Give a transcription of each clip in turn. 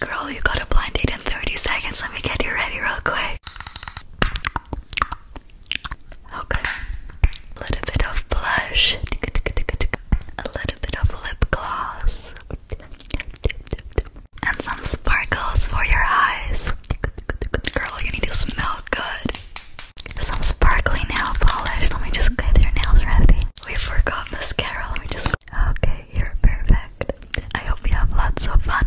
Girl, you got a blind date in 30 seconds. Let me get you ready real quick. Okay. A little bit of blush. A little bit of lip gloss. And some sparkles for your eyes. Girl, you need to smell good. Some sparkly nail polish. Let me just get your nails ready. We forgot mascara. Let me just Okay, you're perfect. I hope you have lots of fun.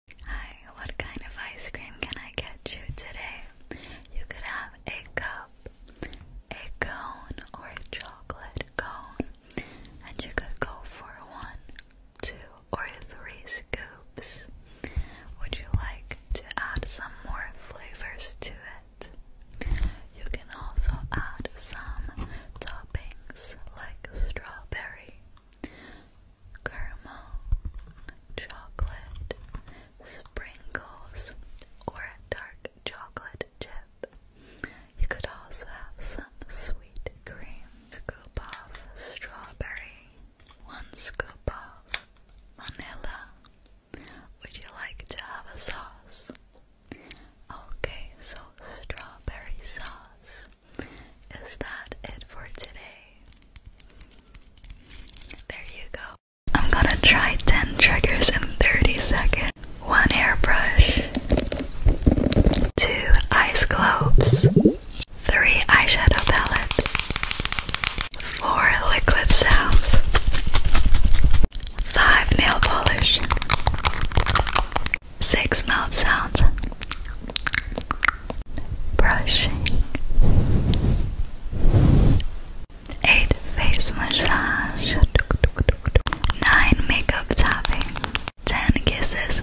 Hi, what kind of ice cream can I get you today? You could have a cup, a cone, or a chocolate cone, and you could go for one, two, or three scoops. Would you like to add some more flavors to it? You can also add some toppings like strawberry, caramel, chocolate, sprinkles, or a dark chocolate chip. You could also have some sweet cream. Scoop of strawberry, one scoop of vanilla. Would you like to have a sauce? Okay, so strawberry sauce is that it for today? There you go. I'm gonna try 10 triggers in 30 seconds. One airbrush, two ice globes, three eyeshadow palette, four liquid sounds, five nail polish, Six mouth sounds. Brushing. Eight face massage. Nine makeup tapping. Ten kisses.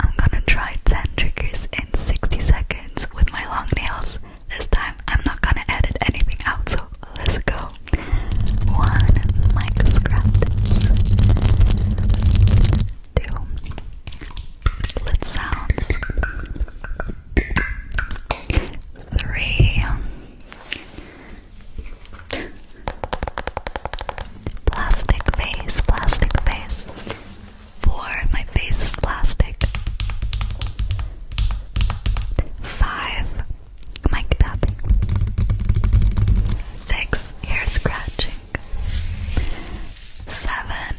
I'm gonna try 10 triggers in 60 seconds with my long nails. This time I'm not gonna edit anything out, so let's go. One, Mike Scraps. Two, Lit Sounds. Three, Plastic Face, Plastic Face. Four, My Face is Plastic. Five, mic tapping. Six, ear scratching. Seven,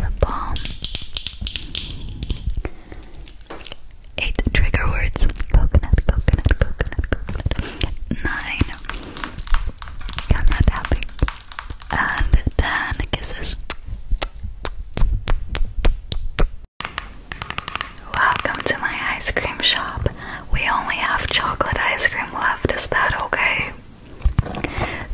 lip balm. Eight trigger words. Coconut, coconut, coconut, coconut. Nine, camera tapping. And ten kisses. Welcome to my ice cream shop. We only have chocolate ice cream left, is that okay?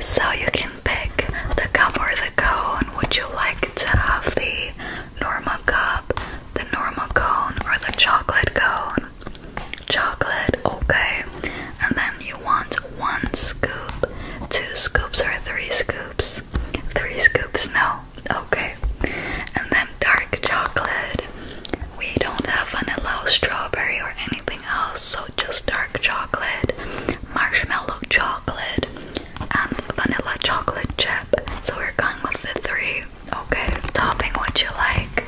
So you can pick the cup or the cone. Would you like to have the normal cup, the normal cone, or the chocolate cone? Chocolate, okay. And then you want one scoop, two scoops, or three scoops three scoops, no, okay. And then dark chocolate. We don't have vanilla or strawberry or anything else, so just dark chocolate, marshmallow chocolate, and vanilla chocolate chip. So we're going with the three. Okay, topping what you like.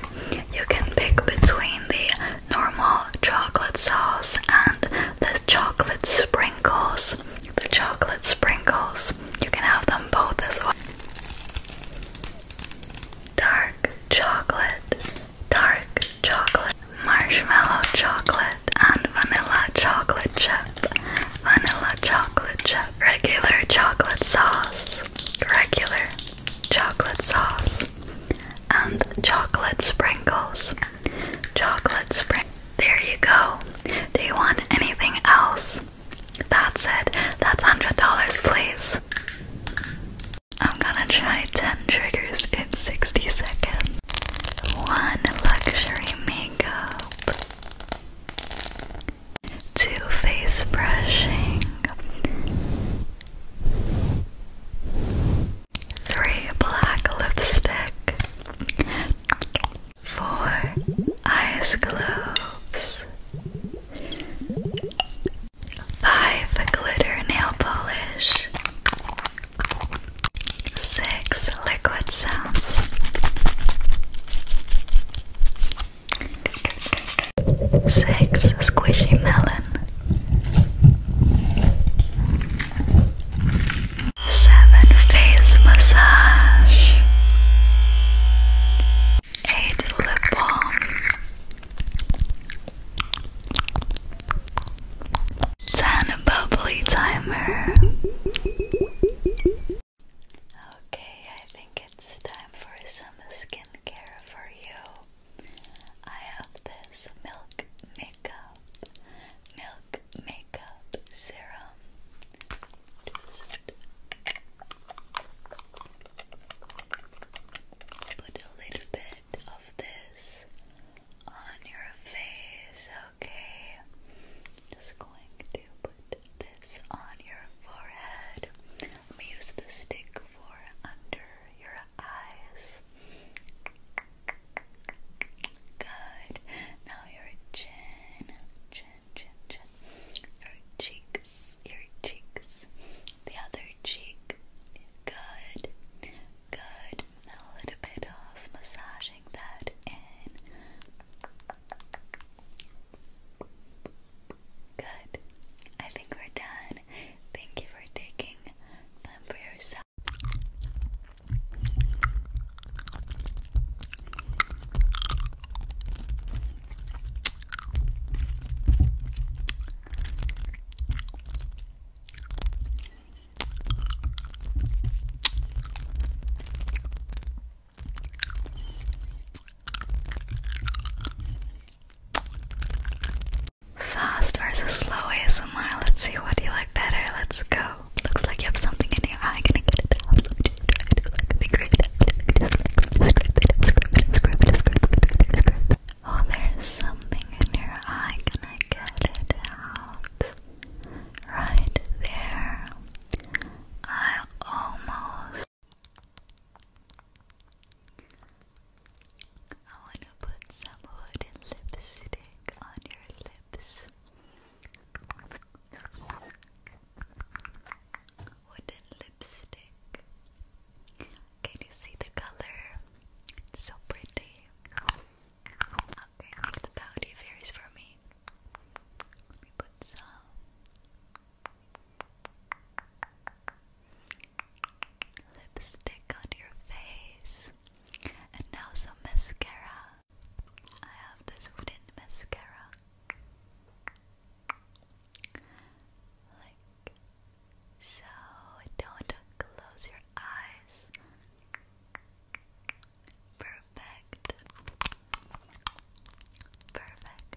You can pick between the normal chocolate sauce and the chocolate sprinkles. The chocolate sprinkles. You can have them both as well. Dark chocolate, dark chocolate, marshmallow chocolate, and vanilla chocolate chip. Vanilla chocolate chip, regular chocolate sauce, regular chocolate sauce, and chocolate sprinkles. Chocolate sprinkles. There you go. Do you want anything else? That's it. That's $100, please. I'm gonna try 10 triggers in 60 seconds. 1. Luxury makeup. 2. Face brushing. 3. Black lipstick for eyes gloves, five glitter nail polish, six liquid sounds. Six squishy melon, Seven face massage. Eight lip balm. Ten bubbly timer. Okay, I think it's time for some skincare for you. I have this milk makeup, milk Look Makeup Serum. put a little bit of this on your face, okay? Just going to put this on your forehead. Let use the stick for under your eyes. Good. Now your chin, chin, chin, chin. Your cheeks, your cheeks. The other cheek. Good. Good. a little bit of massaging that in. Good. I think we're done. Thank you for taking time for yourself. Fast versus slow ASMR. Let's see what you like better. Let's go. Looks like you have something in your eye. Gonna get it off. out. Oh, there's something in your eye. Can I get it out? Right there. I almost. I want to put some wooden lipstick on your lips. Wooden lipstick. Can you see the color? so pretty. Okay, the powder varies for me. Let me put some. Lipstick on your face, and now some mascara. I have this wooden mascara. Like so, don't close your eyes. Perfect. Perfect.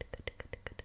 Perfect.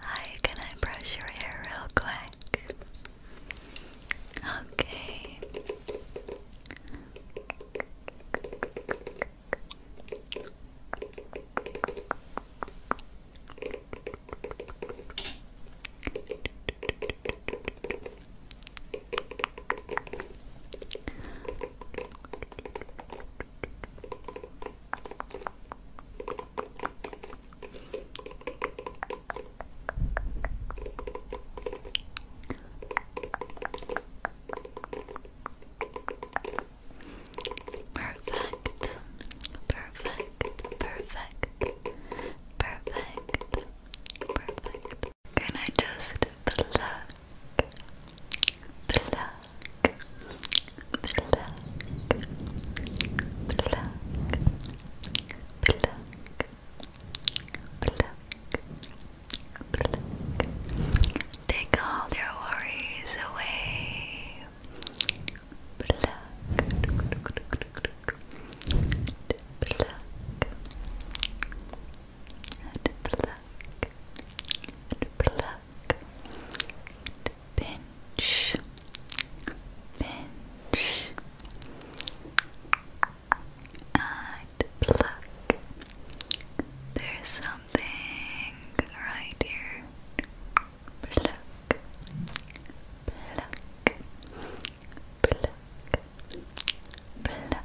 Hi, can I brush your hair real quick? Okay. Perfect, perfect, perfect, perfect, perfect. Can I just pluck, pluck, Take all their worries away and pluck pluck pinch, pinch and pluck. There's something right here. Pluck, pluck, pluck, pluck,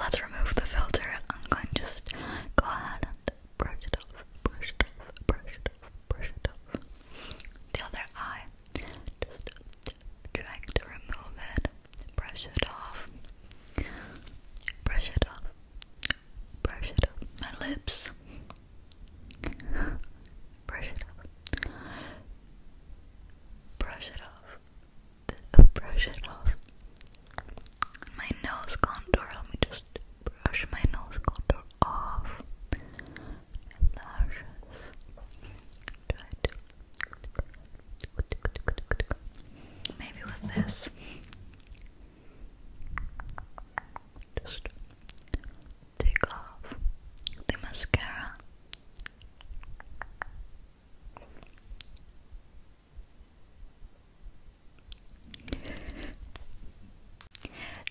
Let's remove the filter. I'm going to just go ahead and brush it off, brush it off, brush it off, brush it off. The other eye, just trying to remove it brush it off, brush it off, brush it off, my lips, brush it off, brush it off, brush it off, my nose contour, let me just brush my nose contour off, my lashes, try to Maybe with this. take off the mascara.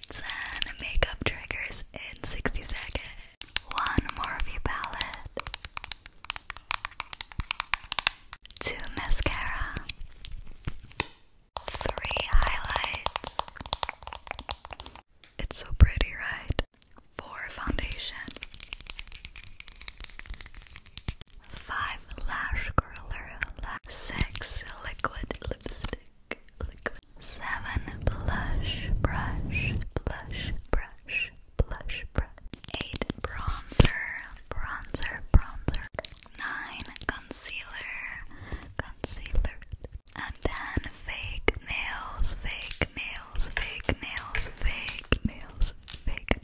Ten makeup triggers in 60 seconds. One Morphe palette. Two mascara, three highlights. It's so pretty, right? Four foundation, five lash curler, six liquid lipstick, seven blush brush, blush brush, blush brush. 8. Bronzer, bronzer, bronzer. 9. Concealer, concealer. And then fake nails, fake nails, fake nails, fake nails, fake nails.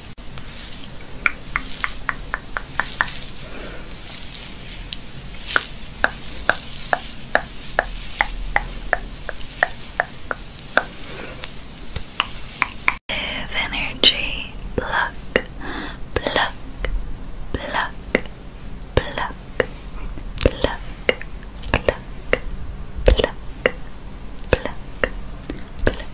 energy, pluck, pluck, pluck, pluck, pluck, pluck, pluck, pluck, pluck.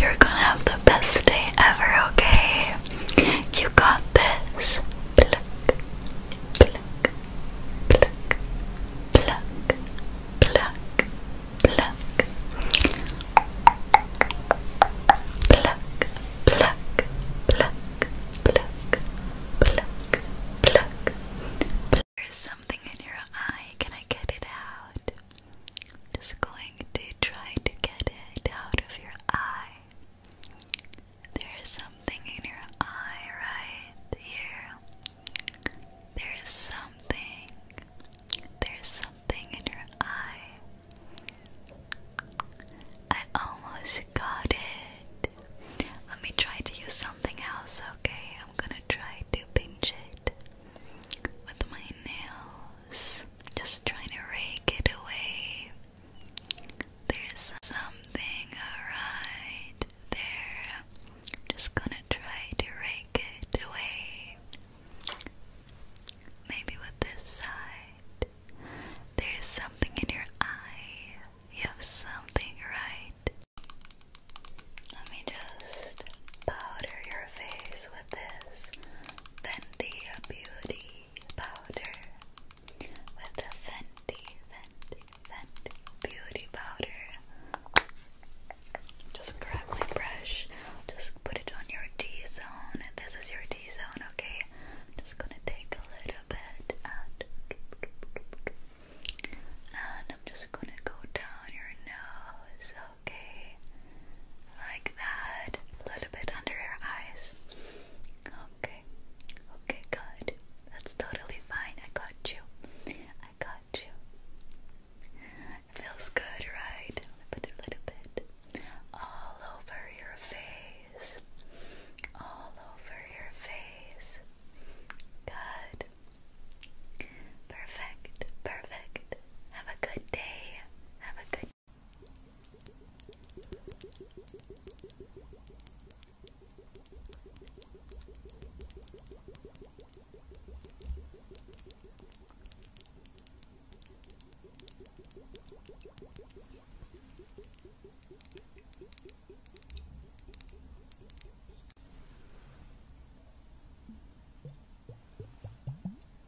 You're gonna have the best day ever, okay? You got this. There's something in your eye. Can I get it out? Just going to try to get it out of your eye. There's something in your eye right here. There's something. There's something in your eye. I almost got it. Let me try to use something else, okay? I'm gonna try to pinch it with my nail just trying to rake it away. There's something alright there. Just gonna try to rake it away. Maybe with this side. There's something in your eye. You have something right. Let me just powder your face with this Fenty Beauty powder. With the Fenty, Fenty, Fenty Beauty powder. Just grab my brush, just put it on your T zone. This is your T zone, okay? just gonna take a little bit and. And I'm just gonna go down your nose. Okay. Like that. A little bit under her eyes. Okay. Okay, good. That's totally fine. I got you. I got you. feels good, right? But a little bit. All over your face. All over your face. Good. Perfect. Perfect. Have a good day. Have a good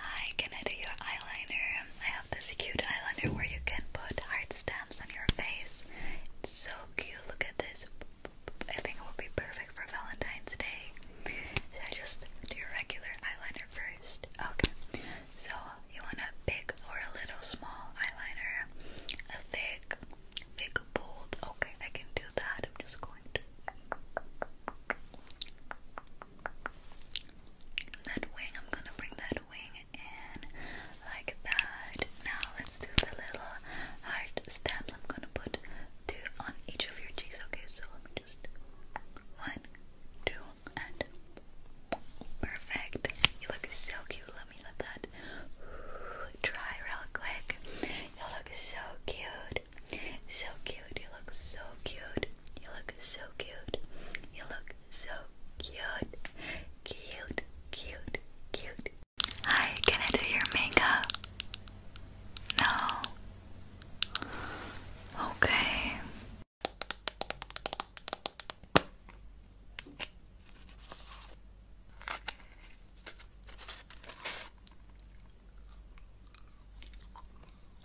Hi, can I do your eyeliner? I have this cute eyeliner where you can put heart stamps on your face. It's so cute. Look at this. I think it will be perfect for Valentine's Day. Should I just do your regular eyeliner first? Okay. So you want a big or a little small eyeliner? A thick, thick bold. Okay, I can do that. I'm just going to that wing, I'm gonna bring that wing in like that. Now let's do the little heart stamps. I'm gonna put two on each of your cheeks. Okay, so just one, two, and perfect. You look so cute. Let me let that dry real quick. You look so cute. So cute. You look so cute. You look so cute. You look so cute. Cute, cute, cute. Hi, can I do your makeup? No. Okay.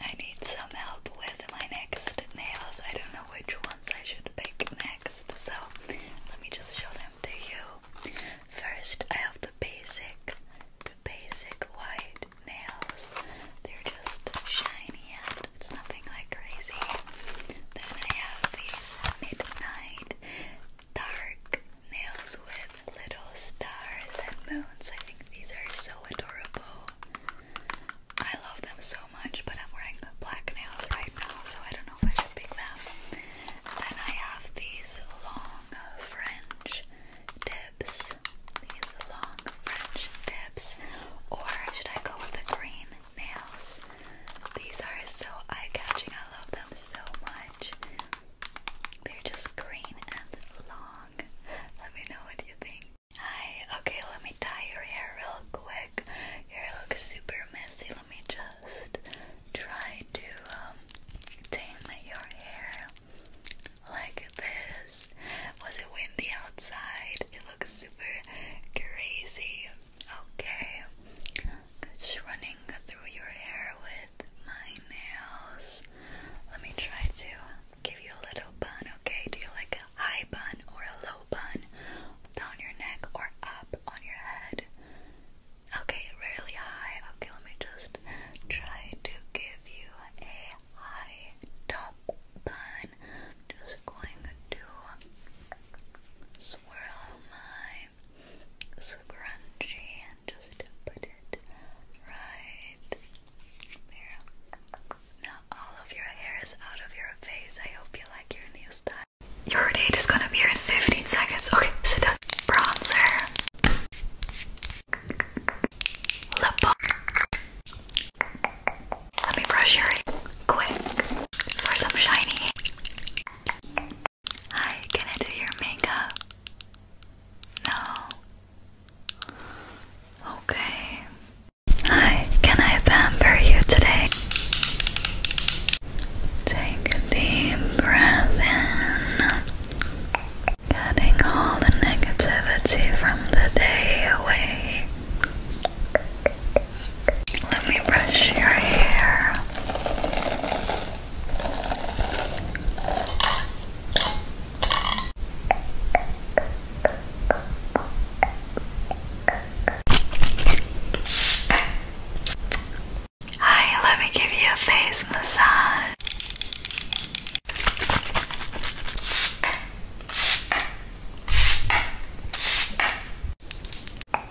I need some help with my next nails. I don't know which ones I should pick next, so let me just show them to you. First, I have the basic, the basic white nails. They're just shiny and it's nothing like crazy. Then I have these midnight dark nails with little stars and moons. I think these are so adorable. I love them so much, but I'm wearing black nails right now, so I don't know if I should pick them. Then I have these long French tips. These long French tips. Or should I go with the green nails? These are so eye catching. I love them so much. They're just green and long. Let me know what you think. Hi, okay, let me tie your hair real quick. Your hair looks super messy. Let me just try to um, tame your hair like this. Was it windy outside? It looks super crazy. Okay, it's running through your hair with my nails. Let me try to give you a little bun, okay? Do you like a high bun or a low bun? Down your neck or up on your head? Okay, really high. Okay, let me just try to give you a high top bun. Just going to swirl my scrunchie and just put it right there. Now all of your hair is out of your face. I hope you like your new style. Your date is gonna be here in 15 seconds. Okay, sit down. Bronzer. Lip balm. Let me brush your hair quick for some shiny. Hi, can I do your makeup? No. Okay. Hi, can I pamper you today? Take a deep breath in, getting all the negativity from the day away. Let me brush your hair. Hi, let me give you a face massage. What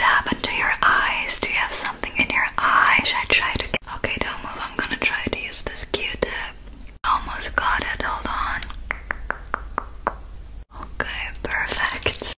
happened to your eyes? Do you have something in your eye? Should I try to get Okay, don't move. I'm gonna try to use this Q-tip. Almost got it, hold on. Okay, perfect.